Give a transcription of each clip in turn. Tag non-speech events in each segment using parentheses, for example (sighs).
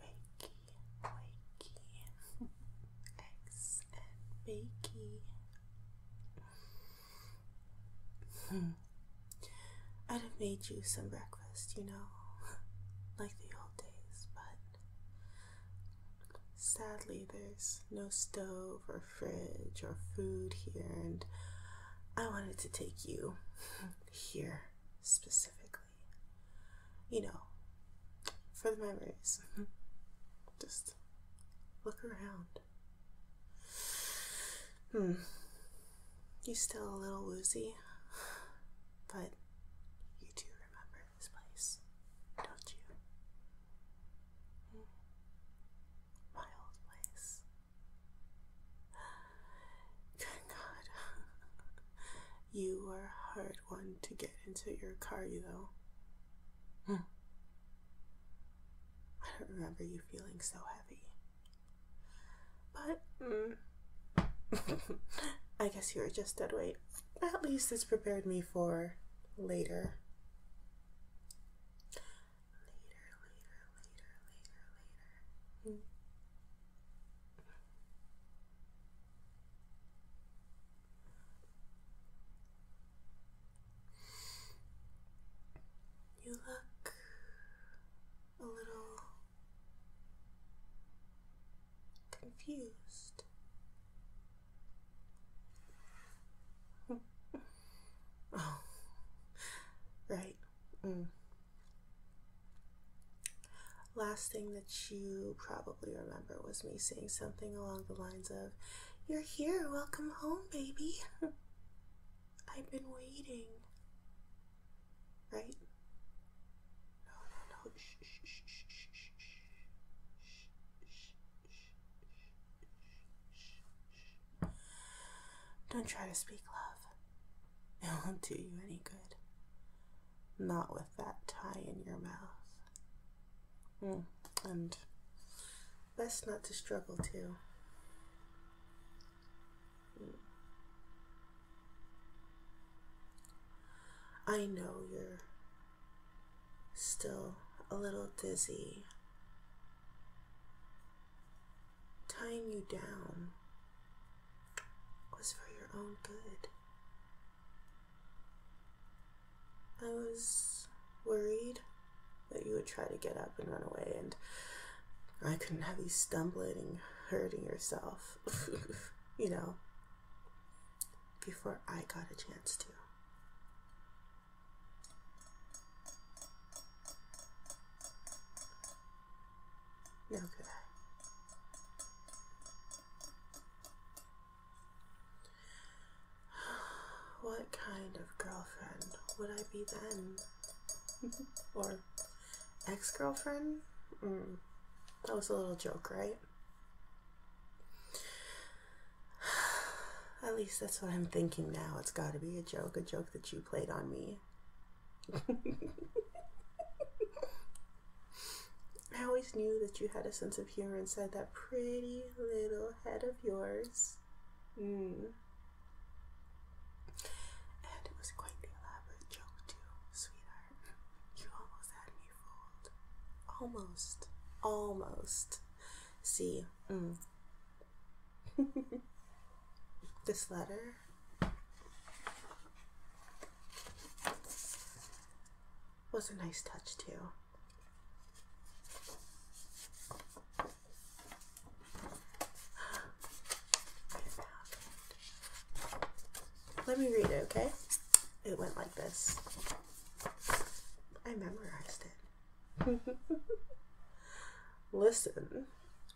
Wakey, wakey, eggs and bakey. Hmm. I'd have made you some breakfast, you know, (laughs) like the old days, but sadly there's no stove or fridge, or food here, and I wanted to take you (laughs) here specifically. You know, for the memories. (laughs) Just look around. Hmm. You still a little woozy, (sighs) but you do remember this place, don't you? Hmm my old ways. (gasps) Thank God. (laughs) you were a hard one to get into your car, you know. Hmm. I don't remember you feeling so heavy. But, mm. (laughs) I guess you are just dead weight. At least this prepared me for later later, later, later, later, later. You look a little confused. Oh, (laughs) right. Mm. Last thing that you probably remember was me saying something along the lines of, You're here, welcome home, baby. (laughs) I've been waiting. Right? No, no, no. Don't try to speak love. (laughs) It won't do you any good. Not with that tie in your mouth. Hmm, and best not to struggle too. Hmm. I know you're still a little dizzy, tying you down was for your own good. I was worried that you would try to get up and run away, and I couldn't have you stumbling and hurting yourself, (laughs) you know, before I got a chance to yoga. (sighs) What kind of girlfriend would I be then? (laughs) or ex girlfriend? Mm, that was a little joke, right? (sighs) At least that's what I'm thinking now. It's got to be a joke, a joke that you played on me. (laughs) I always knew that you had a sense of humor inside that pretty little head of yours. Mm. And it was quite the elaborate joke, too, sweetheart. You almost had me fooled. Almost. Almost. See, mm, (laughs) this letter. was a nice touch too. (gasps) Let me read it, okay? It went like this. I memorized it. (laughs) Listen,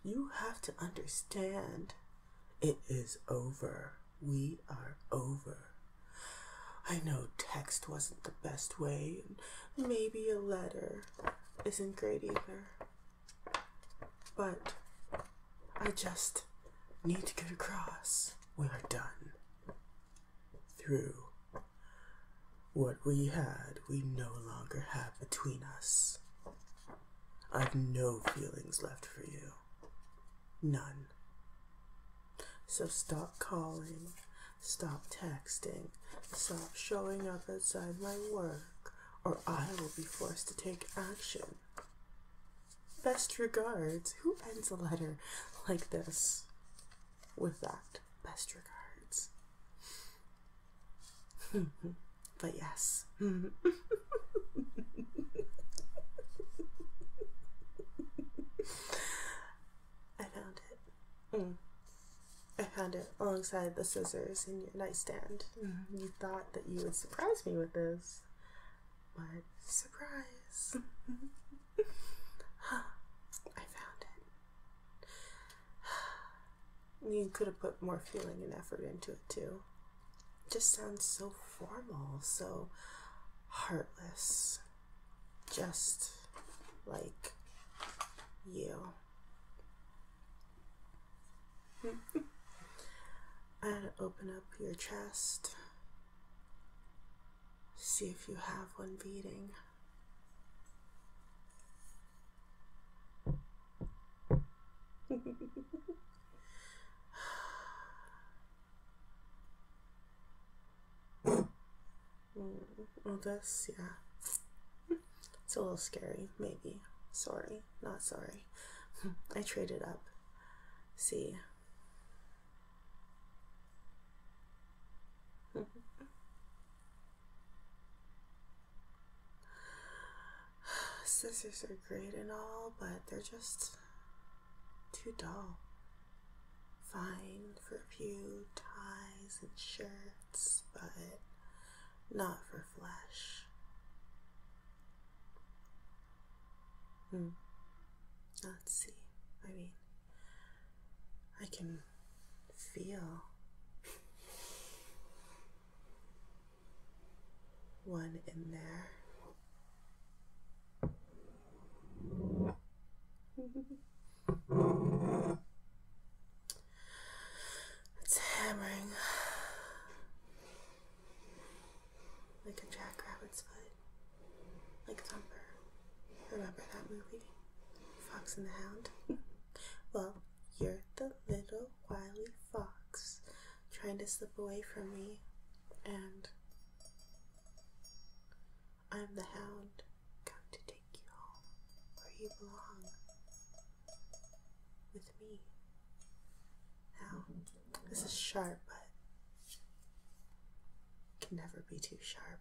you have to understand it is over. We are over. I know text wasn't the best way, maybe a letter isn't great either. But I just need to get across. We are done through. What we had, we no longer have between us. I've no feelings left for you. None. So stop calling, stop texting, stop showing up outside my work, or I will be forced to take action. Best regards. Who ends a letter like this with that? Best regards. (laughs) but yes. (laughs) I found it. Mm. I found it alongside the scissors in your nightstand. Mm-hmm. You thought that you would surprise me with this, but surprise. Mm-hmm. I found it. You could have put more feeling and effort into it too. just sounds so formal, so heartless. Just like you. and (laughs) open up your chest. See if you have one beating. Oh, this, yeah. It's a little scary, maybe. Sorry, not sorry. (laughs) I traded up. See, Sisters are great and all, but they're just too dull. Fine for a few ties and shirts, but not for flesh. Hmm. Let's see. I mean, I can feel one in there. it's hammering like a jackrabbit's foot. Like Thumper. Remember that movie? Fox and the Hound? (laughs) well, you're the little wily fox trying to slip away from me, and I'm the hound come to take you home where you belong with me. Now, this is sharp, but can never be too sharp.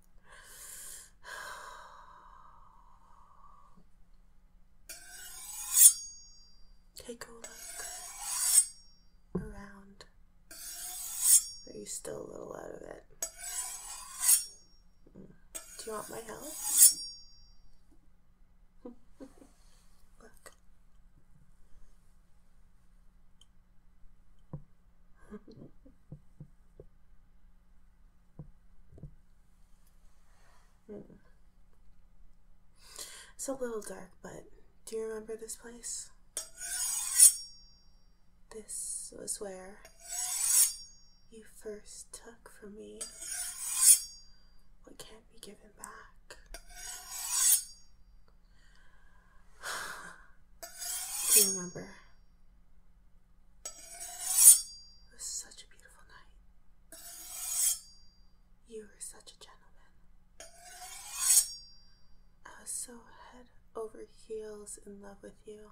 (sighs) Take a look around. Are you still a little out of it? Mm. Do you want my help? (laughs) look. Hmm. It's a little dark, but do you remember this place? This was where you first took from me what can't be given back. (sighs) Do you remember? It was such a beautiful night. You were such a gentleman. I was so head over heels in love with you.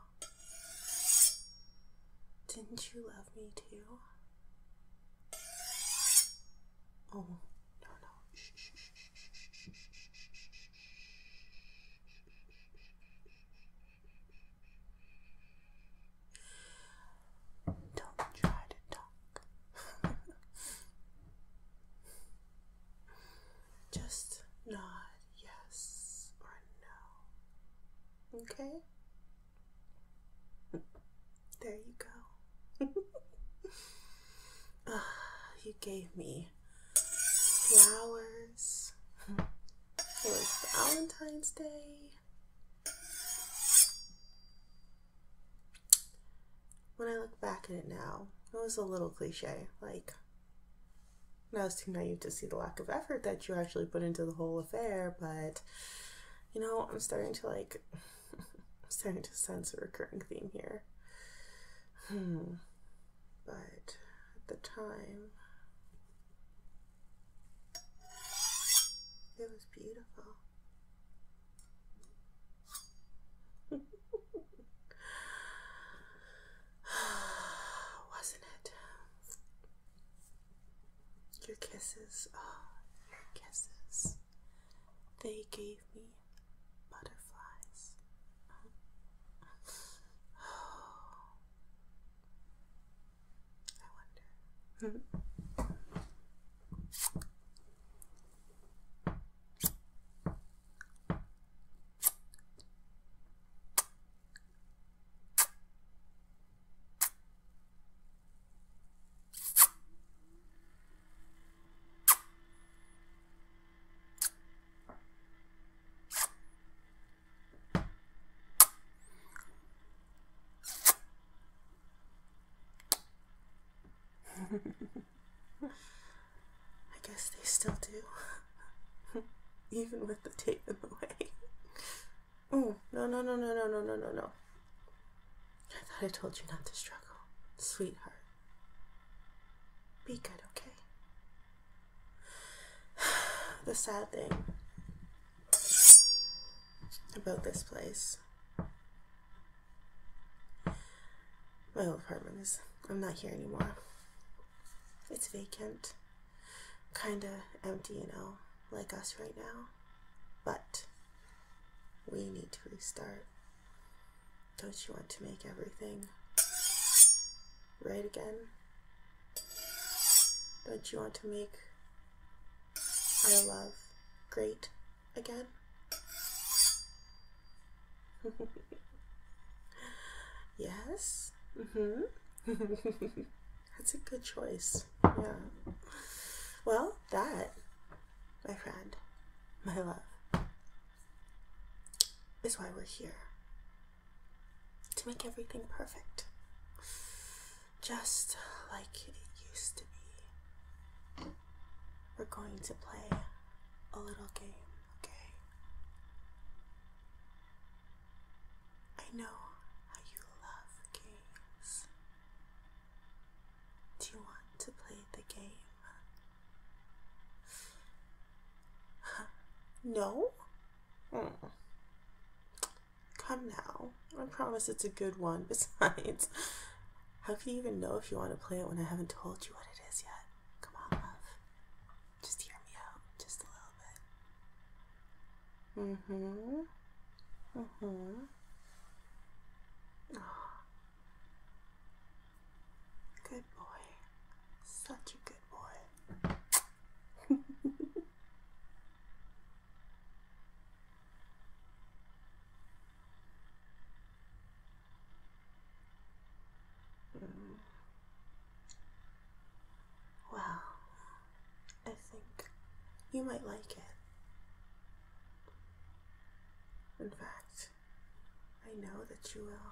Didn't you love me too? Oh, no, no. Shh, shh, shh. Don't try to talk. (laughs) Just nod yes or no. Okay? There you go. (laughs) Ah, you gave me flowers. It was Valentine's Day. When I look back at it now, it was a little cliche. Like, I was too naive to see the lack of effort that you actually put into the whole affair, but you know, I'm starting to like, (laughs) I'm starting to sense a recurring theme here. Hmm but at the time it was beautiful. (laughs) Wasn't it? Your kisses, oh, your kisses. They gave me butterflies. (laughs) I wonder. I guess they still do, (laughs) even with the tape them away. oh, no, no, no, no, no, no, no, no. I thought I told you not to struggle, sweetheart. Be good, okay? (sighs) the sad thing about this place, my old apartment is, I'm not here anymore. It's vacant, kinda empty, you know, like us right now. But we need to restart. Don't you want to make everything right again? Don't you want to make our love great again? (laughs) yes? Mm-hmm. (laughs) That's a good choice. Yeah. Well, that, my friend, my love, is why we're here to make everything perfect, just like it used to be. We're going to play a little game, okay? I know how you love games. Do you want to play the game? No? Hmm. Come now. I promise it's a good one. (laughs) Besides, how can you even know if you want to play it when I haven't told you what it is yet? Come on, love. Just hear me out, just a little bit. Mm-hmm. Mm-hmm. Oh. Good boy. Such a good boy. mm. (laughs) I think you might like it. In fact, I know that you will.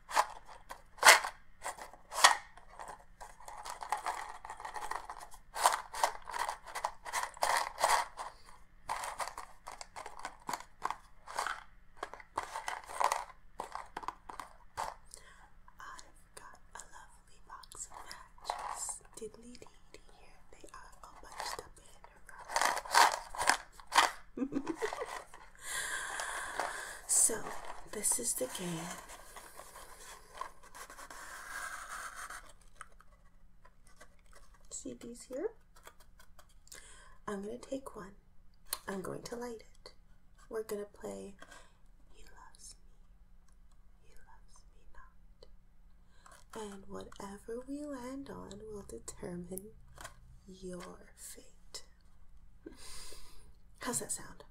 I've got a lovely box of matches. Diddly dee dee, here they are all bunched up in a row. (laughs) So, this is the game. See these here? I'm going to take one. I'm going to light it. We're going to play He Loves Me, He Loves Me Not. And whatever we land on will determine your fate. (laughs) How's that sound?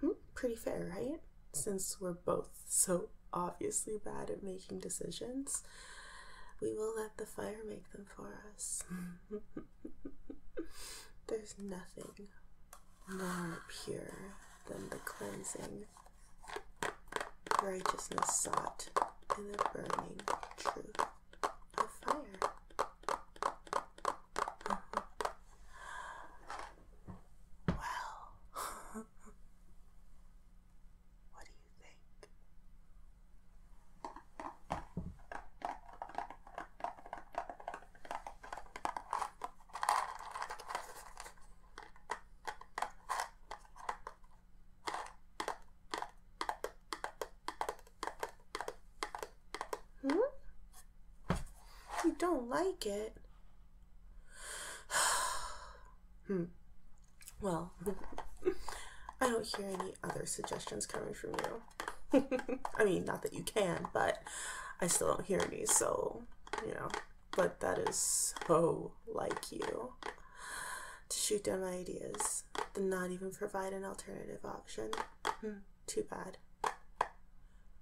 Hmm, pretty fair, right? Since we're both so obviously bad at making decisions, we will let the fire make them for us. (laughs) There's nothing more pure than the cleansing righteousness sought in the burning truth of fire. Well, (laughs) what do you think? Hmm? You don't like it? (sighs) hmm. Well, (laughs) I don't hear any other suggestions coming from you. (laughs) I mean, not that you can, but I still don't hear any, so, you know. But that is so like you. To shoot down my ideas, and not even provide an alternative option. Hmm. Too bad.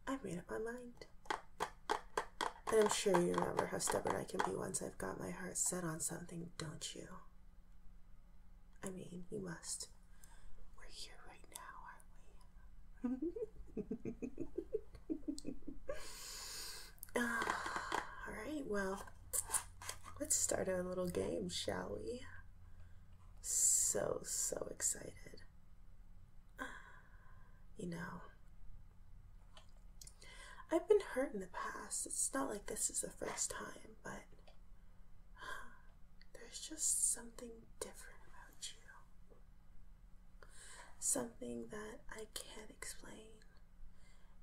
I made up my mind. And I'm sure you remember how stubborn I can be once I've got my heart set on something, don't you? I mean, you must. We're here right now, aren't we? uh, (laughs) all right, well, let's start our little game, shall we? so, so excited. (sighs) You know, I've been hurt in the past. It's not like this is the first time, but (sighs) there's just something different about you. Something that I can't explain.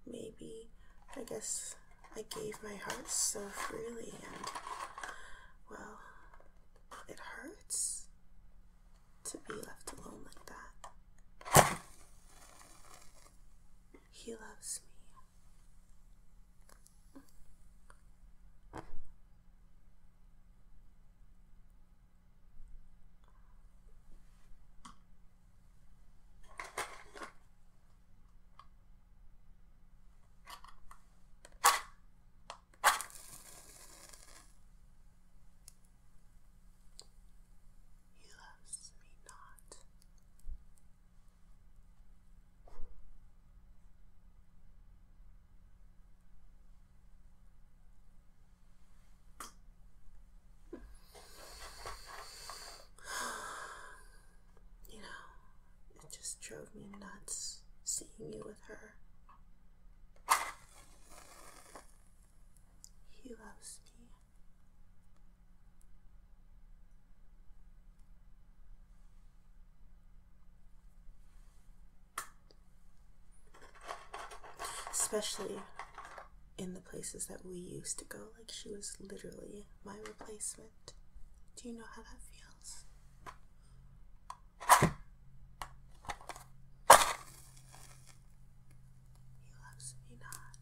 Maybe, I guess I gave my heart so freely and well, it hurts to be left alone like that. He loves me. He loves me not you know, it just drove me nuts seeing you with her. He loves me. Especially in the places that we used to go, like she was literally my replacement. Do you know how that feels? He loves me not.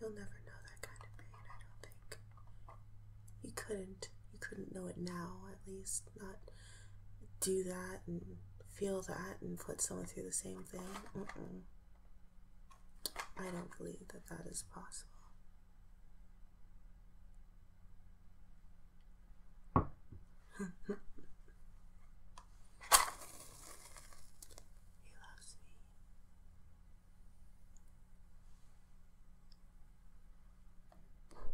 You'll never know that kind of pain, I don't think. You couldn't. You couldn't know it now, at least. Not do that and feel that and put someone through the same thing. I don't believe that that is possible. (laughs) He loves me. He loves me not.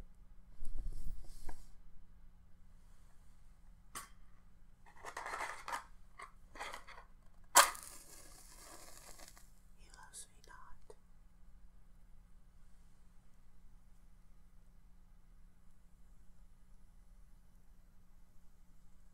He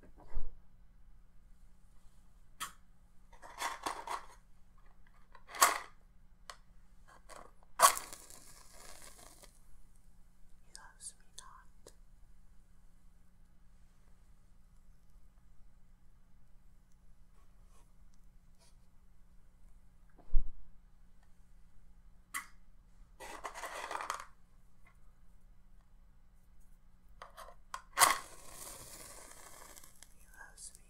He loves me not. He loves me.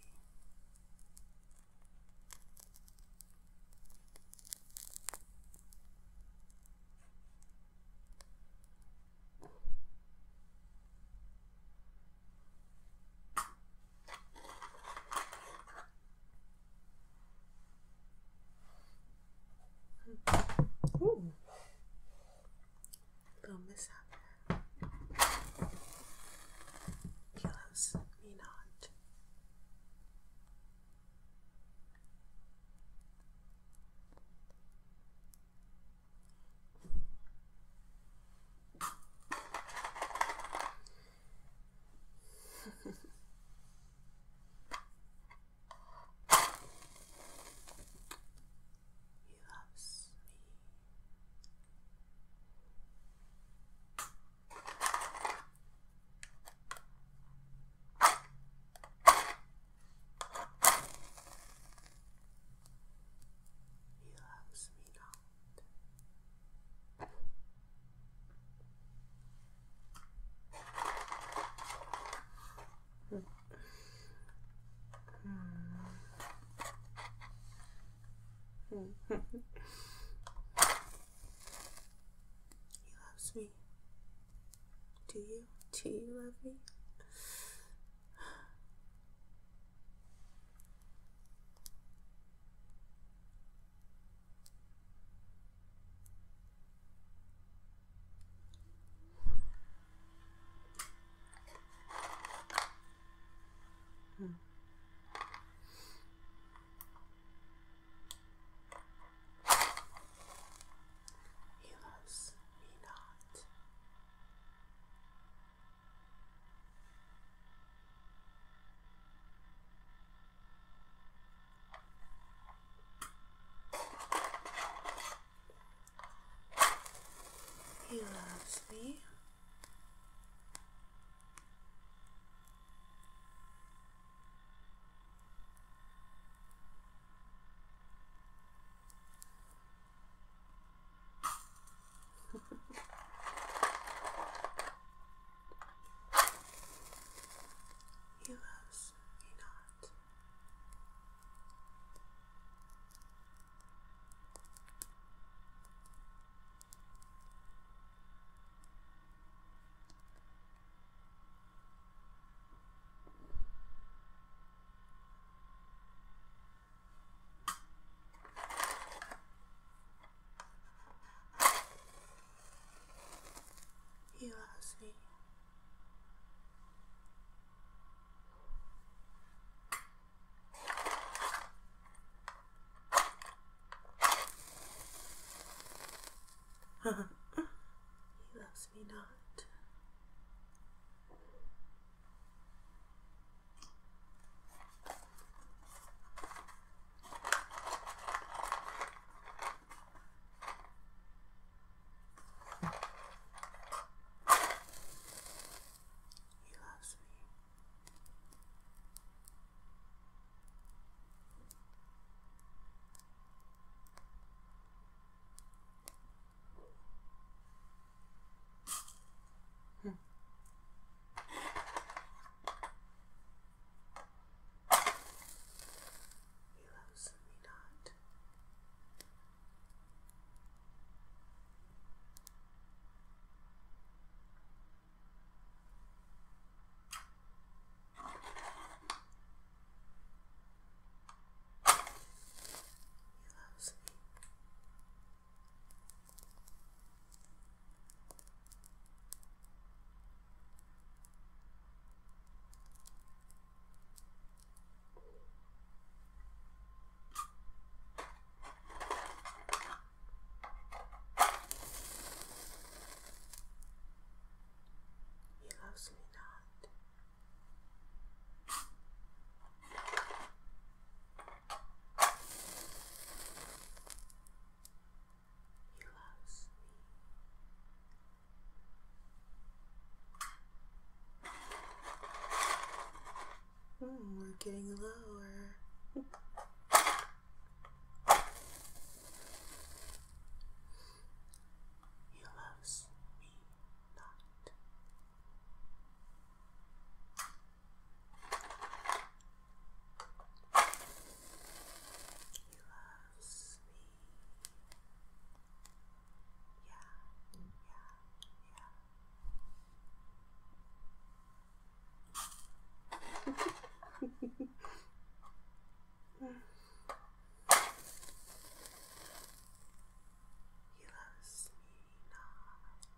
Ooh. Little mishap. Kilos me not. (laughs) He loves me. He loves me not he loves me. Do you? Do you love me? Hmm. He loves me not. He loves me. (laughs) he loves he you not. You are asleep. (laughs) he loves me not. He loves me. Hmm. He loves me not. He loves me. He loves me not. He loves me. Hmm, we're getting lower. He loves me not. He loves loves me. Yeah, yeah, yeah. (laughs) He loves me not.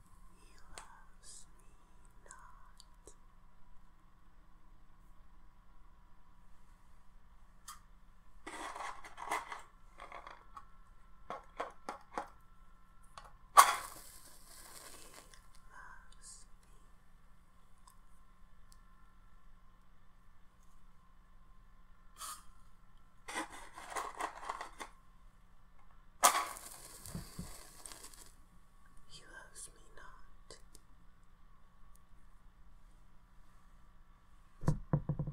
He loves me not. He loves me. He loves me not. He loves me.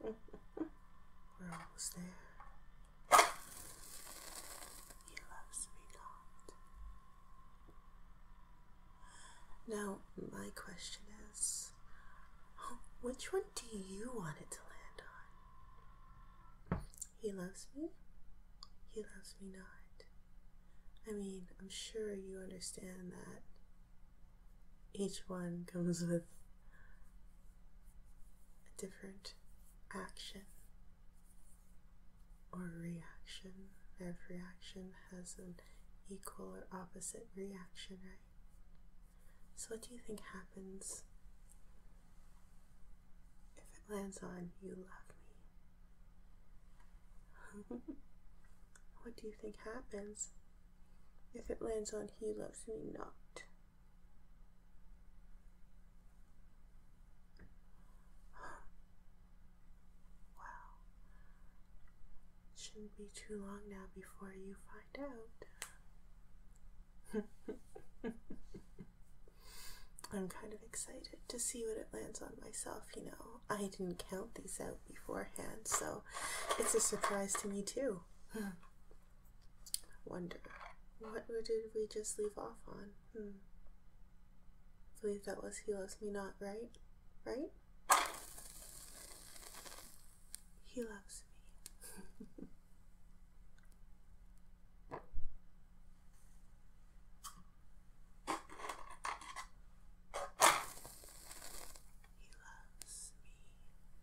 We're almost there. He loves me not. Now, my question is which one do you want it to land on? He loves me he loves me not. I mean, I'm sure you understand that each one (laughs) comes with a different action or reaction. Every action has an equal or opposite reaction, right? So, what do you think happens if it lands on you love me? (laughs) what do you think happens if it lands on He Loves Me Not? (gasps) wow. Shouldn't be too long now before you find out. (laughs) I'm kind of excited to see what it lands on myself, you know. I didn't count these out beforehand, so it's a surprise to me too. (sighs) Wonder what did we just leave off on? I hmm. believe that was He Loves Me Not, right? Right? He loves me. (laughs) He loves me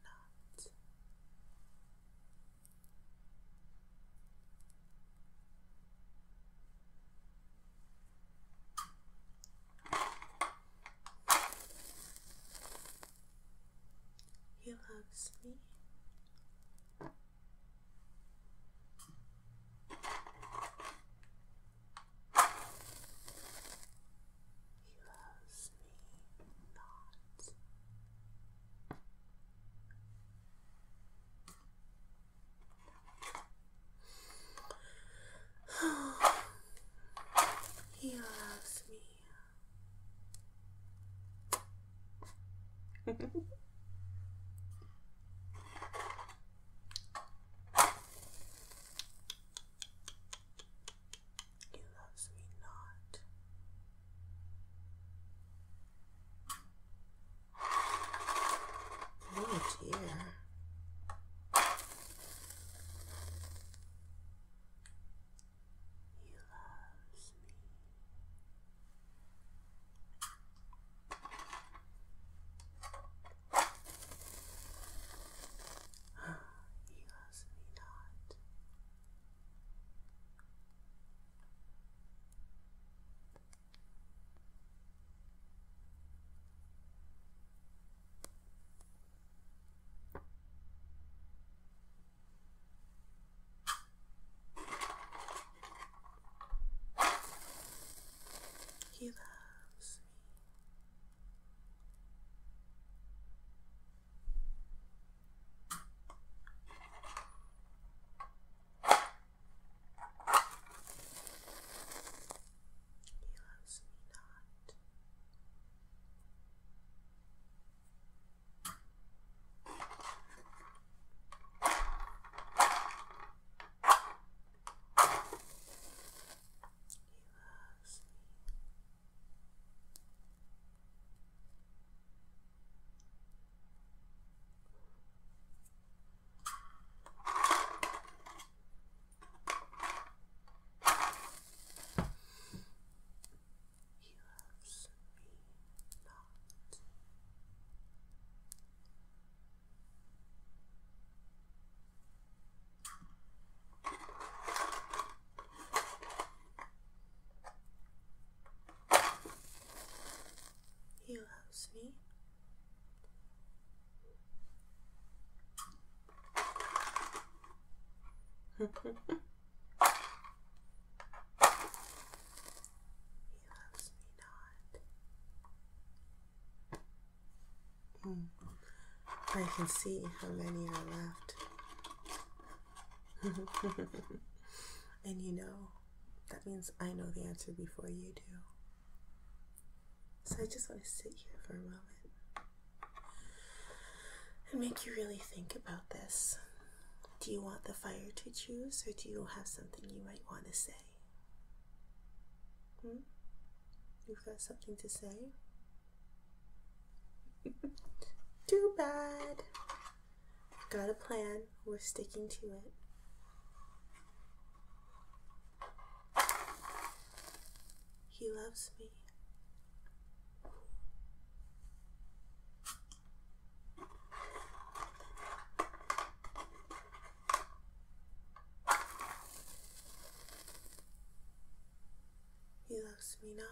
not. He loves me. He loves me not. he loves me. He loves me not. Oh dear. He loves me. He loves me not. He loves me. He loves me not loves me. He loves me not. You house me. (laughs) he loves me not. Mm. I can see how many are left. (laughs) and you know, that means I know the answer before you do. So I just want to sit here for a moment and make you really think about this. Do you want the fire to choose, or do you have something you might want to say? Hmm? You've got something to say? (laughs) Too bad. Got a plan. We're sticking to it. He loves me. He loves me not.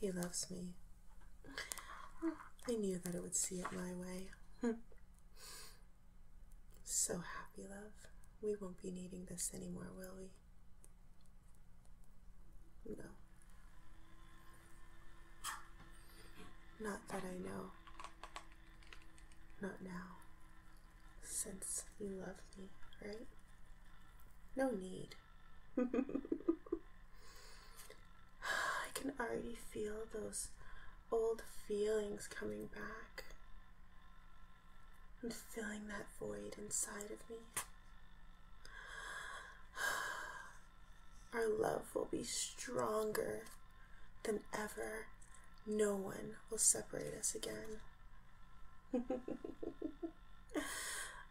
He loves me. I knew that it would see it my way. Hmm. so happy, love. We won't be needing this anymore, will we? No. Not that I know. Not now since you love me, right? No need. (laughs) I can already feel those old feelings coming back I'm filling that void inside of me. (sighs) Our love will be stronger than ever. No one will separate us again. (laughs)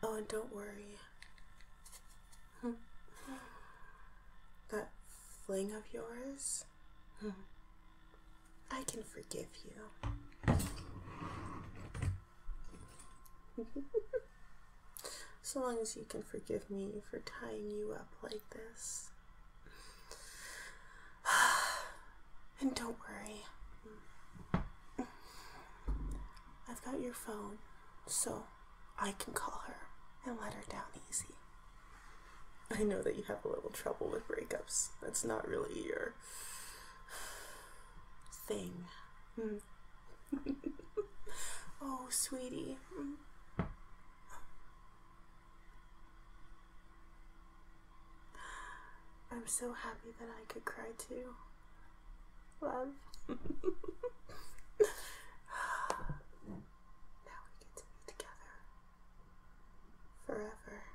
oh, and don't worry. that fling of yours, I can forgive you. (laughs) so long as you can forgive me for tying you up like this. (sighs) and don't worry. I've got your phone, so I can call her and let her down easy. I know that you have a little trouble with breakups. That's not really your thing. Hmm. (laughs) oh, sweetie. Hmm. I'm so happy that I could cry too. Love. (laughs) (sighs) now we get to be together forever.